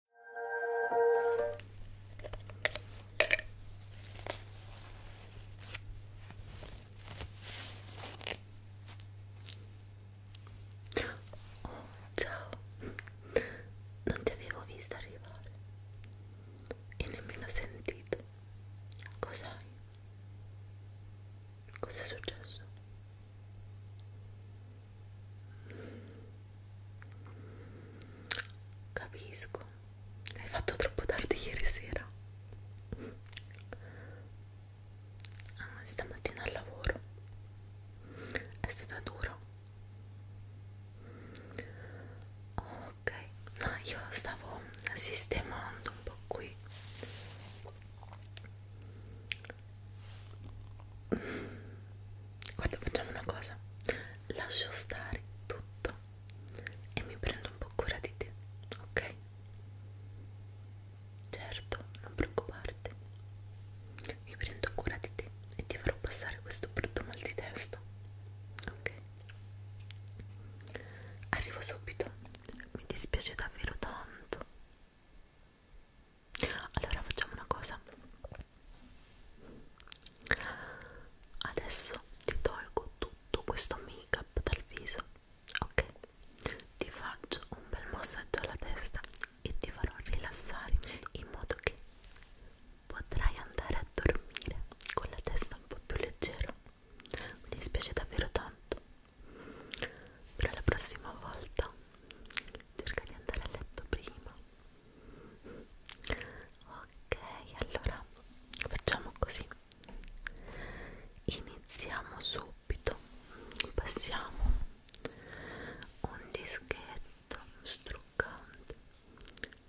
Oh, ciao, non ti avevo vista arrivare e nemmeno sentito. Cos'hai? Cos'è successo? Capisco, hai fatto troppo tardi ieri sera. Ah, stamattina al lavoro è stata dura. Ok, no, io stavo sistemando un po' qui guarda facciamo una cosa lascio stare tutto e mi prendo un po' cura di te ok certo non preoccuparti mi prendo cura di te e ti farò passare questo brutto mal di testa ok arrivo subito mi dispiace davvero tanto allora facciamo una cosa adesso ti tolgo tutto questo make up dal viso ok ti faccio un bel massaggio alla testa e ti farò rilassare in modo che potrai andare a dormire con la testa un po' più leggera mi dispiace davvero tanto però la prossima volta cerca di andare a letto prima ok allora facciamo così iniziamo subito passiamo un dischetto struccante ok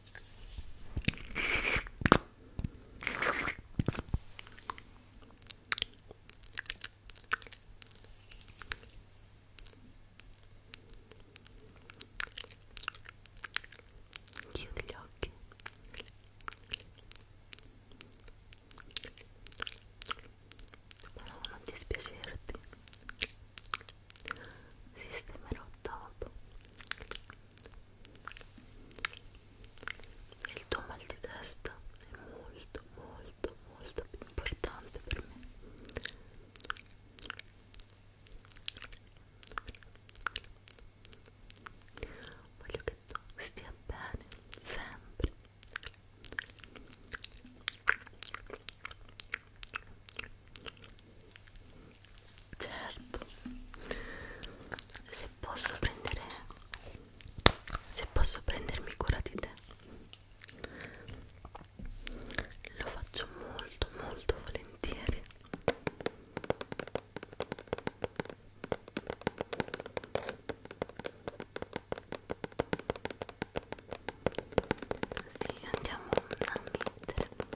Chiudi gli occhi. Ma no, non dispiacerti. Sistemerò dopo il tuo mal di testa è molto molto molto più importante per me voglio che tu stia bene sempre certo se posso prendere se posso prendermi cura di te lo faccio molto molto volentieri sì andiamo a mettere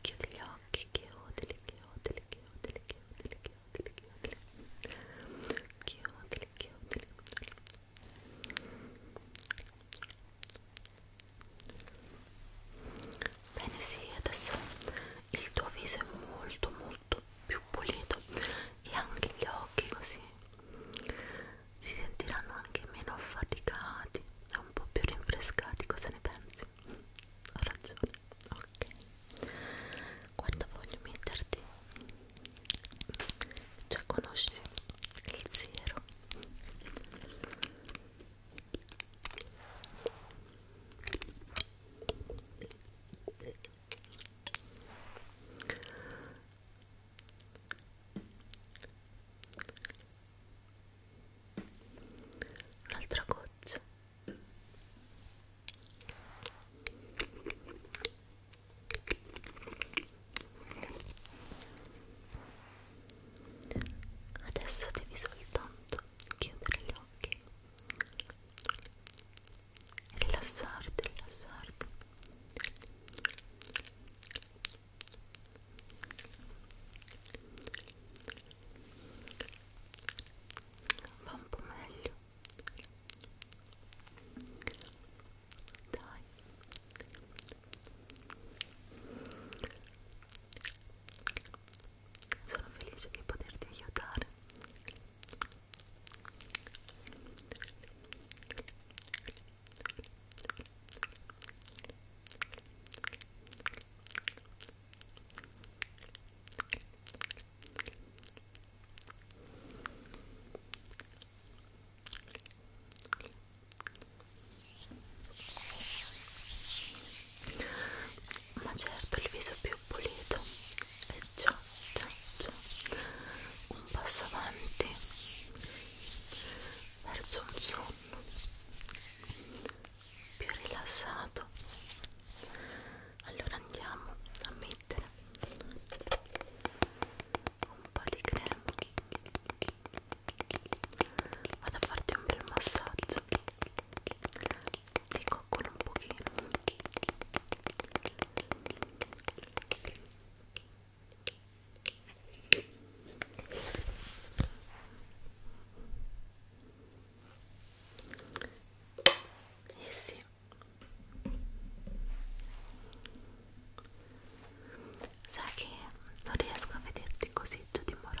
chiudi gli occhi chiudili chiudili chiudili chiudili chiudili chiudili chiudili chiudili bene sì adesso il tuo viso è molto molto più pulito e anche gli occhi così si sentiranno anche meno affaticati e un po' più rinfrescati, cosa ne pensi? Ho ragione, ok. Guarda, voglio metterti, già conosci il zero un'altra goccia adesso devi soltanto chiudere gli occhi rilassarti rilassarti va un po' meglio dai sono felice di poterti aiutare ma certo il viso più pulito è già, già, già un passo avanti verso un sonno più rilassato allora andiamo a mettere un po' di crema vado a farti un bel massaggio ti coccolo un pochino eh sì. Sai che non riesco a vederti così giù di morale.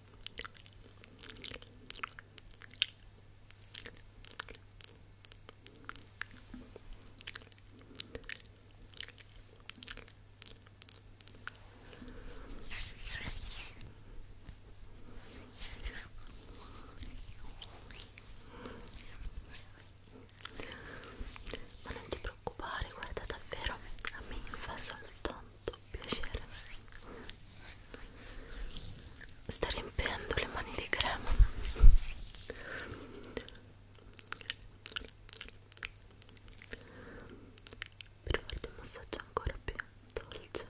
Ma non ti preoccupare, guarda davvero, a me fa soltanto fatto piacere sta riempiendo le mani di crema per farti un massaggio ancora più dolce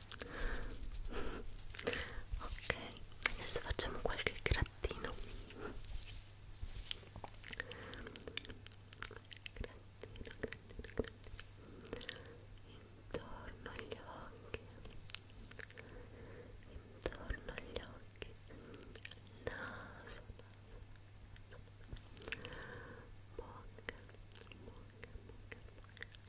ok adesso facciamo qualche grattino grattino grattino grattino intorno agli occhi intorno agli occhi naso naso bocca bocca bocca bocca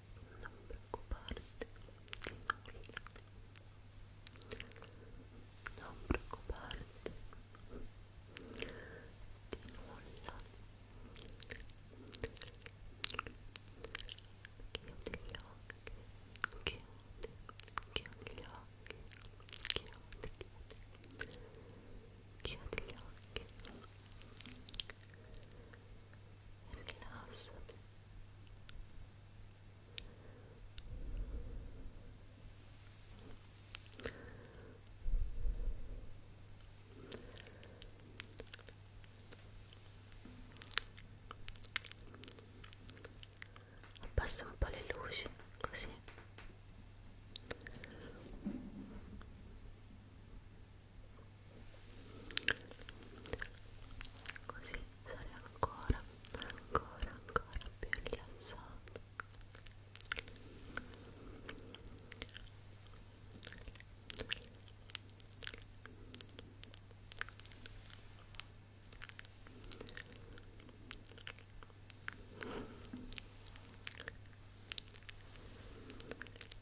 non preoccuparti di nulla non preoccuparti rilassati Abbassa un po' le luci, così così sarei ancora ancora ancora più rilassato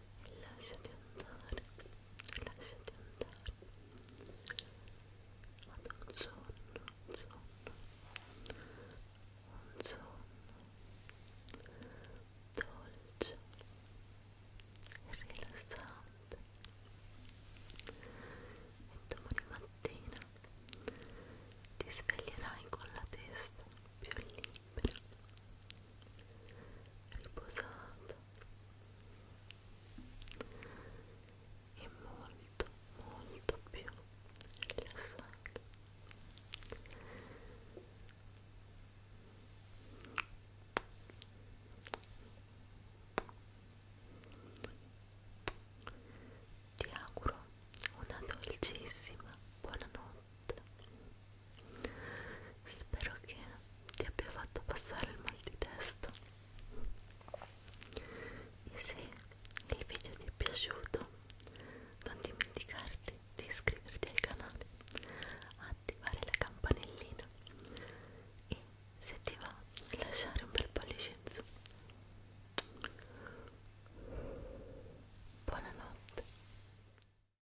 lasciati andare lasciati andare ad un sonno un sonno un sonno dolce rilassante e domani mattina ti sveglierai con la testa più libera riposata e molto molto più rilassata ti auguro una dolcissima buonanotte notte spero che ti abbia fatto passare il mal di testa e se il video ti è piaciuto non dimenticarti di iscriverti al canale attivare la campanellina e se ti va lasciare un bel pollice in su buonanotte